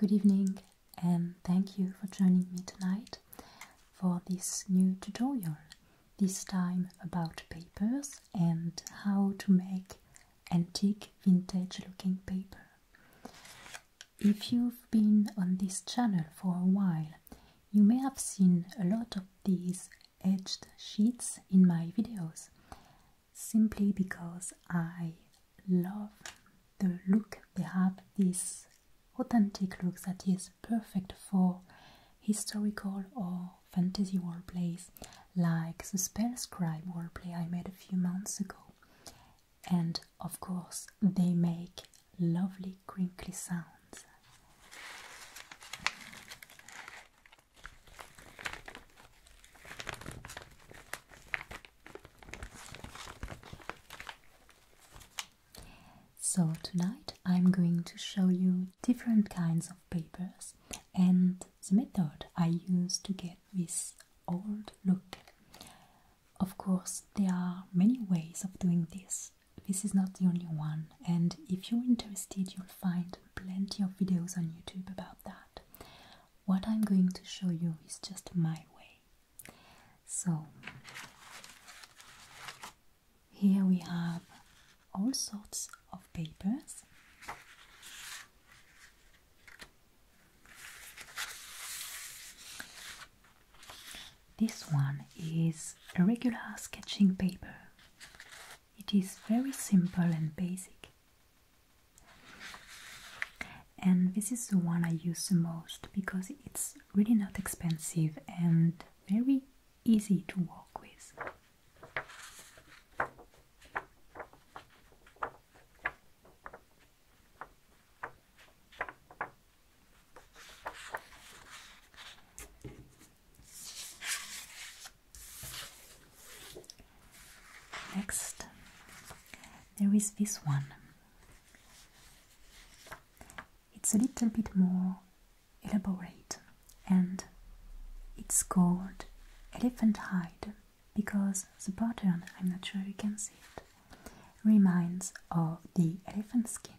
Good evening, and thank you for joining me tonight for this new tutorial, this time about papers and how to make antique vintage looking paper. If you've been on this channel for a while, you may have seen a lot of these edged sheets in my videos simply because I love the look they have, this authentic look that is perfect for historical or fantasy world plays like the Spell Scribe roleplay I made a few months ago. And of course, they make lovely crinkly sounds. So tonight I'm going to show you different kinds of papers and the method I use to get this old look. Of course, there are many ways of doing this. This is not the only one, and if you're interested, you'll find plenty of videos on YouTube about that. What I'm going to show you is just my way. So, here we have all sorts of papers. This one is a regular sketching paper. It is very simple and basic. And this is the one I use the most because it's really not expensive and very easy to work with. Next, there is this one. It's a little bit more elaborate and it's called Elephant Hide because the pattern, I'm not sure you can see it, reminds of the elephant skin.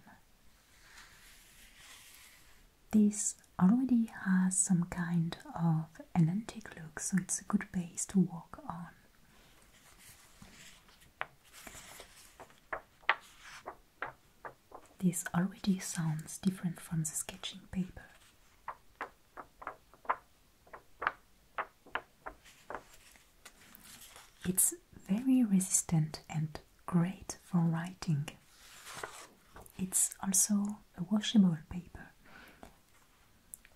This already has some kind of an antique look, so it's a good base to work on. This already sounds different from the sketching paper. It's very resistant and great for writing. It's also a washable paper,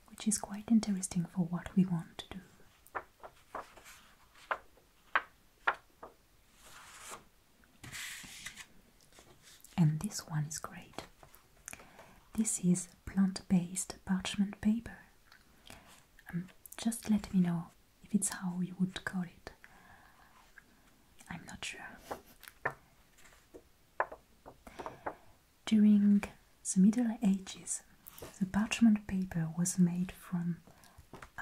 which is quite interesting for what we want to do. And this one is great. This is plant-based parchment paper. Um, just let me know if it's how you would call it. I'm not sure. During the Middle Ages, the parchment paper was made from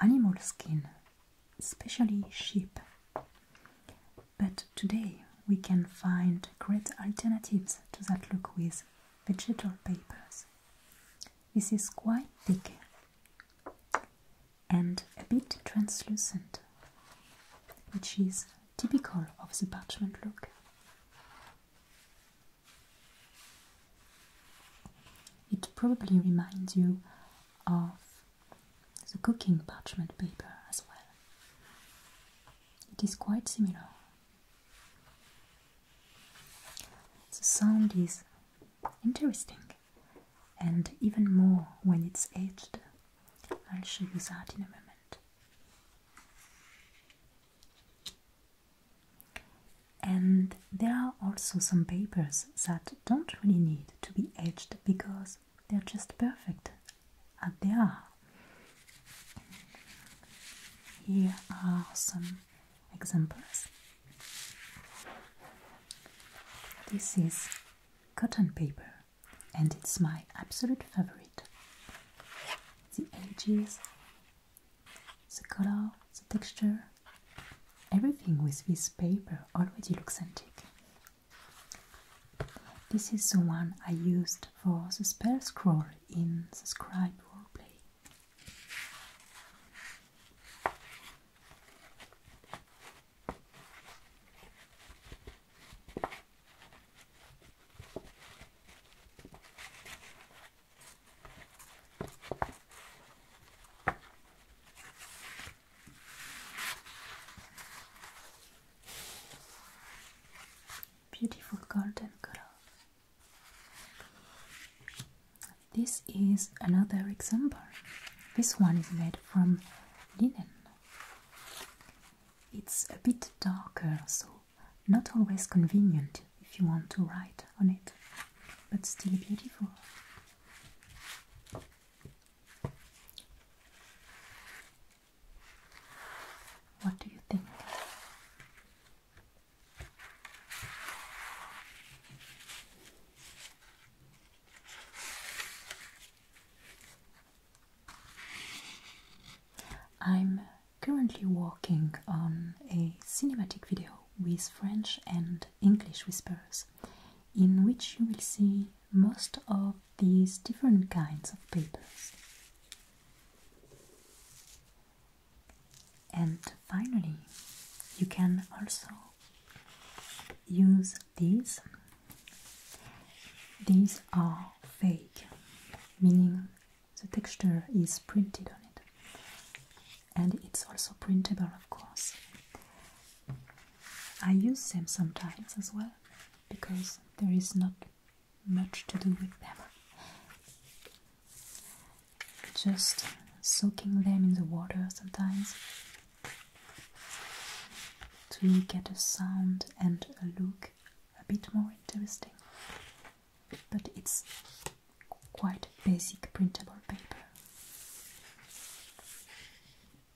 animal skin, especially sheep. But today we can find great alternatives to that look with vegetal papers. This is quite thick and a bit translucent, which is typical of the parchment look. It probably reminds you of the cooking parchment paper as well. It is quite similar. The sound is interesting and even more when it's edged. I'll show you that in a moment. And there are also some papers that don't really need to be edged because they're just perfect Adela. Here are some examples. This is cotton paper and it's my absolute favorite. The edges, the color, the texture, everything with this paper already looks antique this is the one I used for the spell scroll in the scribe roleplay. Beautiful golden color. This is another example. This one is made from linen. It's a bit darker, so not always convenient if you want to write on it, but still beautiful. What do you think? I'm currently working on a cinematic video with French and English whispers, in which you will see most of these different kinds of papers. And finally, you can also use these. These are fake, meaning the texture is printed on it, and it's also printable, of course. I use them sometimes as well because there is not much to do with them. Just soaking them in the water sometimes to get a sound and a look a bit more interesting. But it's quite basic printable paper.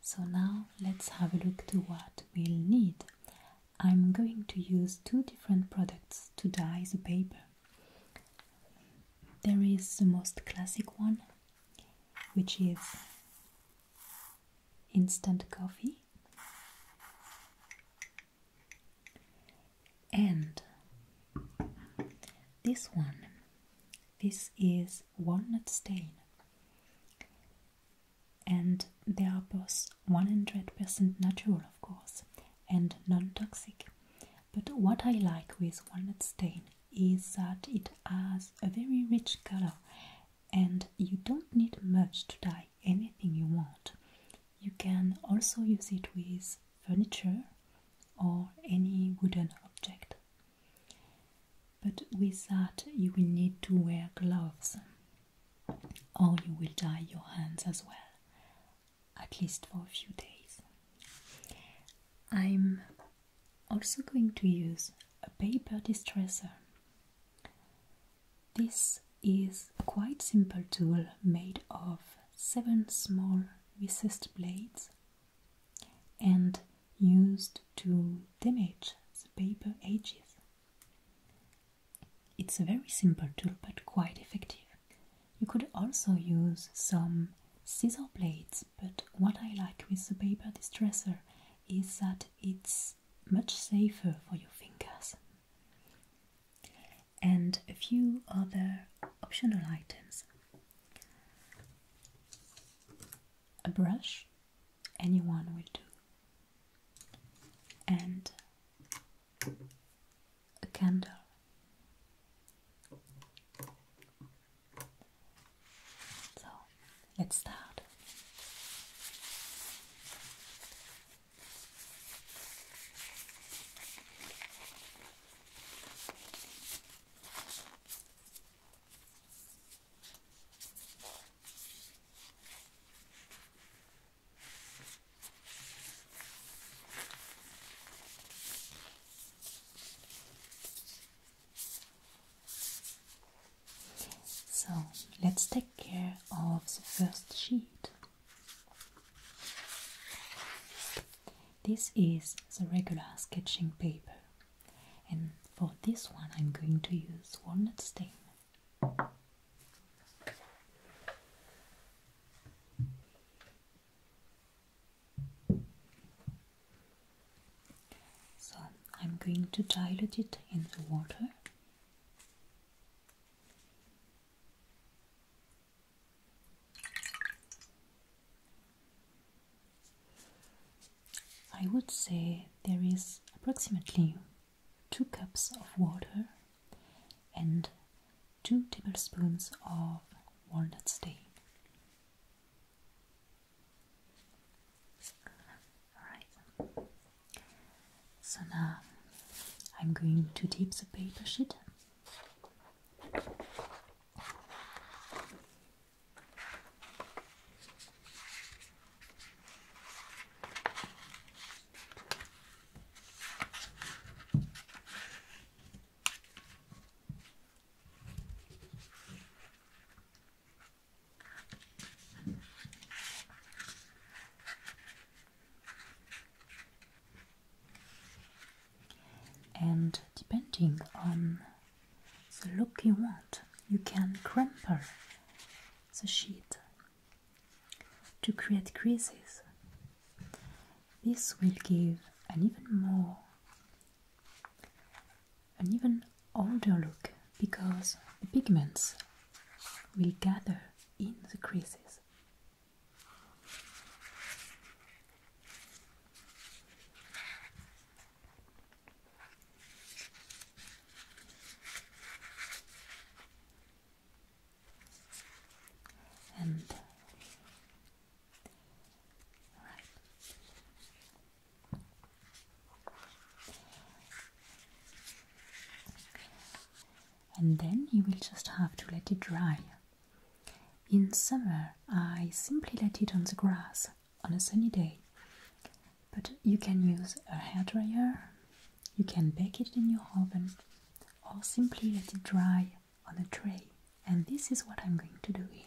So now let's have a look to what we'll need. I'm going to use two different products to dye the paper. There is the most classic one, which is instant coffee and this one. This is walnut stain and they are both 100% natural, of course, and non toxic. But what I like with walnut stain is that it has a very rich color, and you don't need much to dye anything you want. You can also use it with furniture or any wooden object but with that, you will need to wear gloves, or you will dye your hands as well, at least for a few days. I'm also going to use a paper distresser. This is a quite simple tool made of seven small recessed blades and used to damage the paper edges. It's a very simple tool but quite effective. You could also use some scissor blades, but what I like with the paper distresser is that it's much safer for your fingers. And a few other optional items. A brush anyone will do and a candle so let's start so let's take care of the first sheet. This is the regular sketching paper and for this one I'm going to use walnut stain so I'm going to dilute it in the water I would say there is approximately 2 cups of water and 2 tablespoons of walnut stain. Alright, so now I'm going to dip the paper sheet. And depending on the look you want. You can crumple the sheet to create creases. This will give an even more, an even older look because the pigments will gather in the creases. And right. And then you will just have to let it dry. In summer, I simply let it on the grass on a sunny day. But you can use a hair dryer, you can bake it in your oven, or simply let it dry on a tray. And this is what I'm going to do here.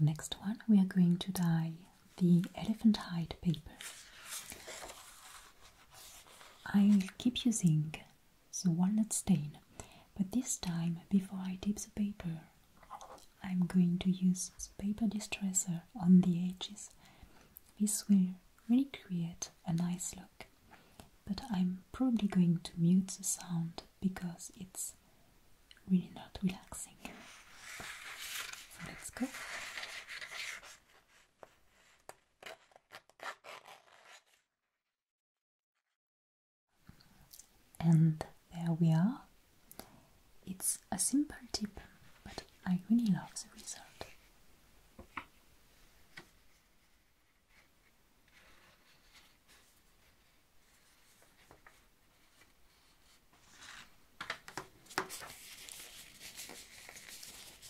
Next one, we are going to dye the elephant hide paper. I will keep using the walnut stain, but this time, before I dip the paper, I'm going to use the paper distresser on the edges. This will really create a nice look, but I'm probably going to mute the sound because it's really not relaxing. let's go. And there we are. It's a simple tip, but I really love the result.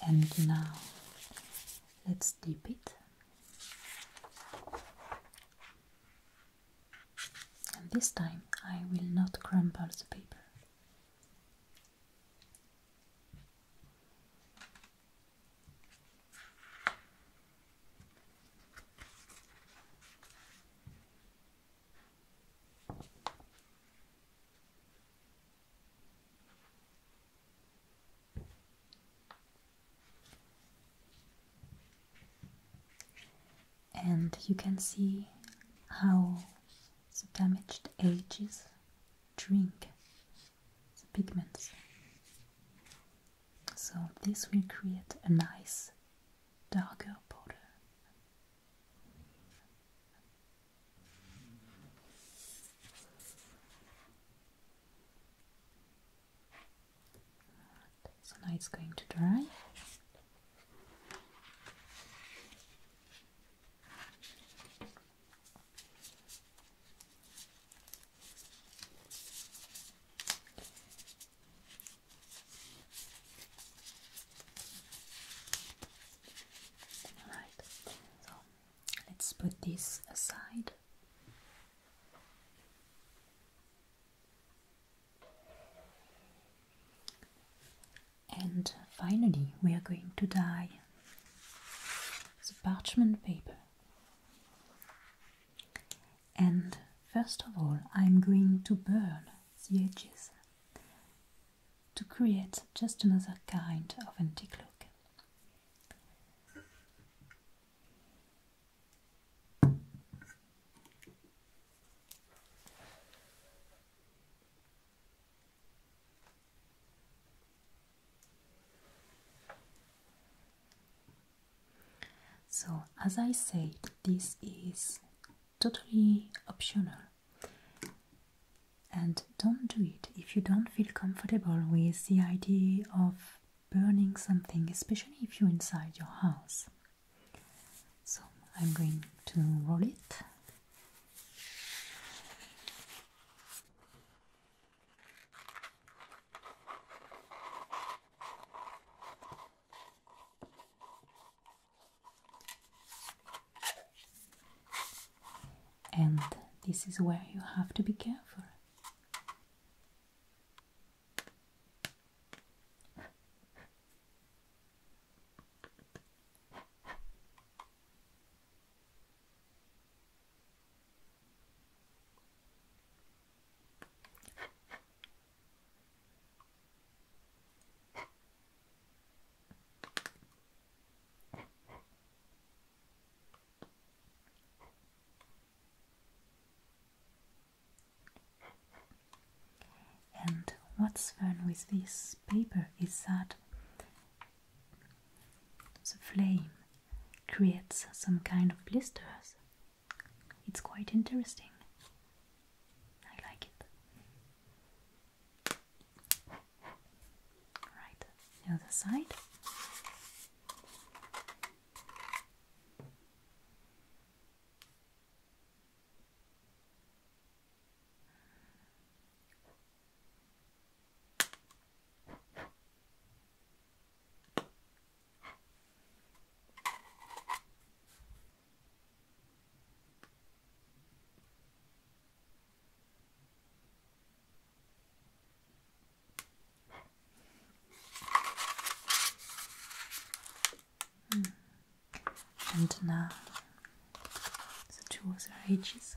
And now let's dip it. And this time I will not crumple the paper. And you can see how the damaged ages drink the pigments. So this will create a nice darker border. So now it's going to dry. Alright, so let's put this aside. And finally, we are going to dye the parchment paper. And first of all, I'm going to burn the edges to create just another kind of antique look. So, as I said, this is totally optional and don't do it if you don't feel comfortable with the idea of burning something, especially if you're inside your house. So, I'm going to roll it. And this is where you have to be careful. And what's fun with this paper is that the flame creates some kind of blisters. It's quite interesting. I like it. Right, the other side. And now the tools are edges.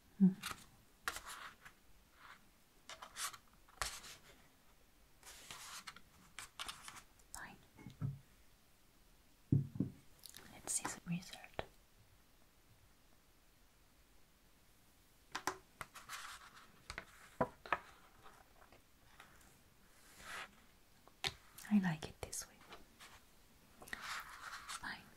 Fine. Let's see the result. I like it this way. Fine.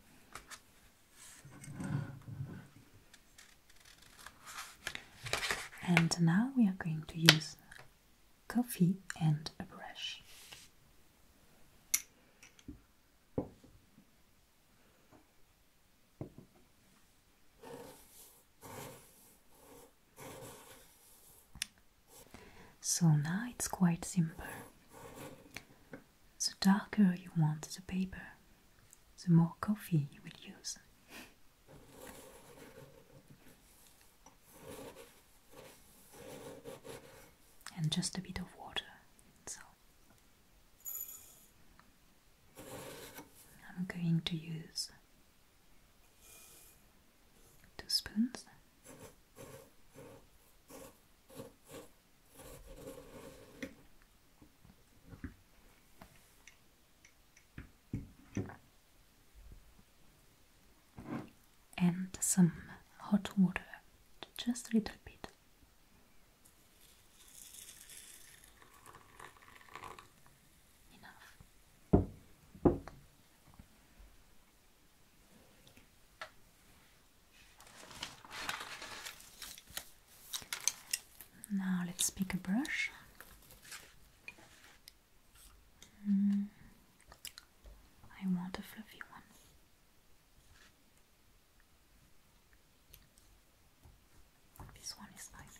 And now we are going to use coffee and a brush. So now it's quite simple the darker you want the paper, the more coffee you will use. And just a bit of water. So I'm going to use two spoons and some hot water, just a little bit. Enough. Now let's pick a brush. Hmm. I want a fluffy one. This one is nice.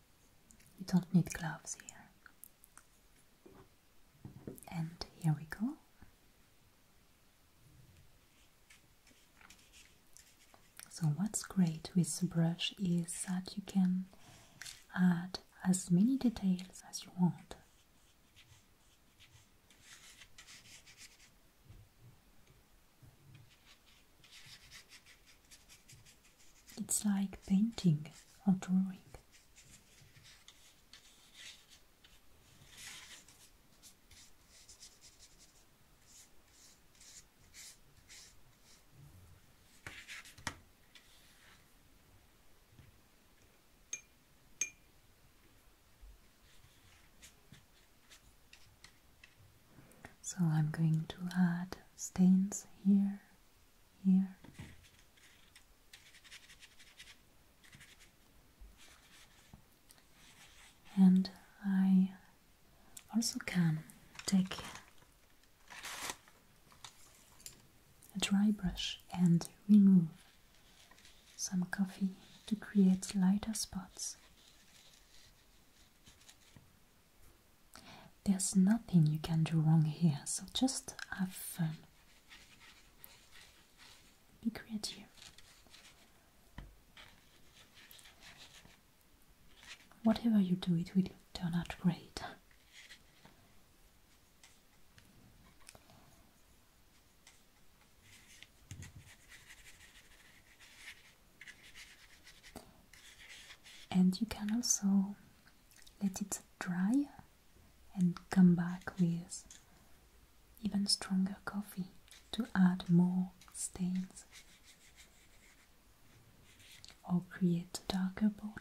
You don't need gloves here. And here we go. So what's great with the brush is that you can add as many details as you want. It's like painting or drawing. So I'm going to add stains here, here. And I also can take a dry brush and remove some coffee to create lighter spots. There's nothing you can do wrong here, so just have fun. Be creative. Whatever you do, it will turn out great and you can also let it dry and come back with even stronger coffee to add more stains or create a darker border.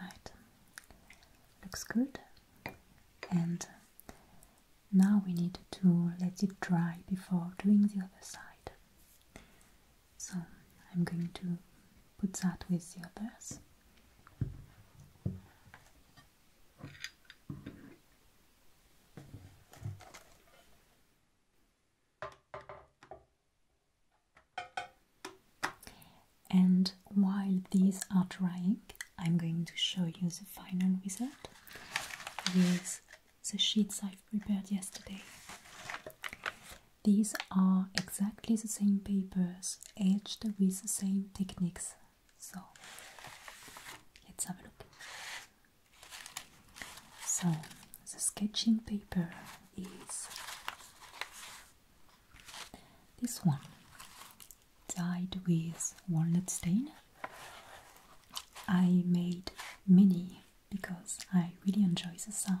Right, looks good. And now we need to let it dry before doing the other side. So I'm going to put that with the others. And while these are drying I'm going to show you the final result with the sheets i prepared yesterday. These are exactly the same papers edged with the same techniques. So let's have a look. So the sketching paper is this one dyed with walnut stain. I made mini because I really enjoy the sound.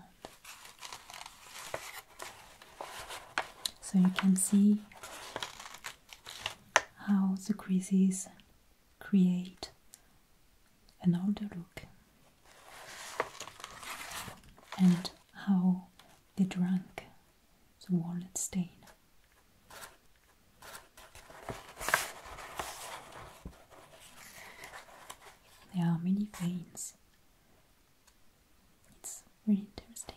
So you can see how the creases create an older look and how they drank the walnut stain. There are many veins. It's really interesting.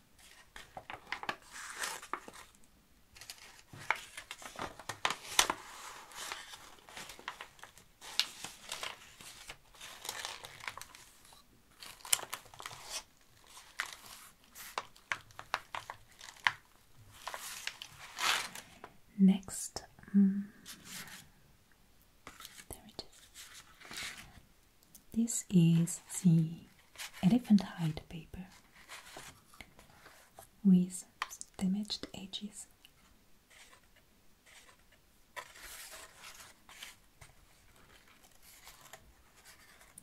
Next, um, there it is. This is the elephant hide paper with damaged edges.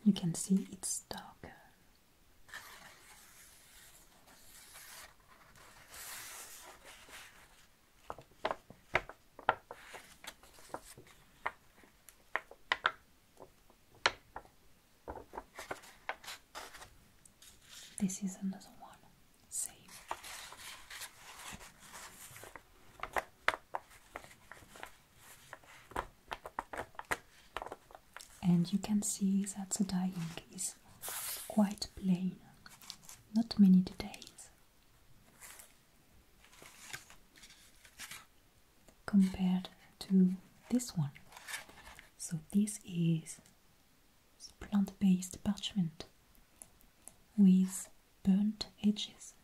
You can see it's darker. This is another one, same. And you can see that the dyeing is quite plain, not many details compared to this one. So, this is plant based parchment with burnt edges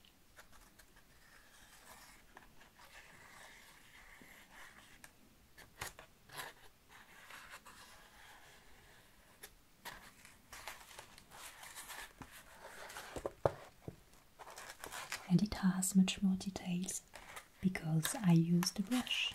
and it has much more details because I use the brush.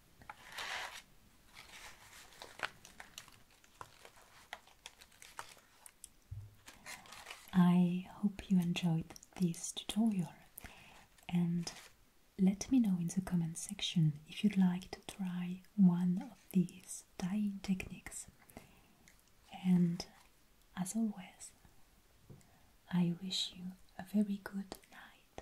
I hope you enjoyed this tutorial and let me know in the comment section if you'd like to try one of these dyeing techniques. And as always, I wish you a very good night.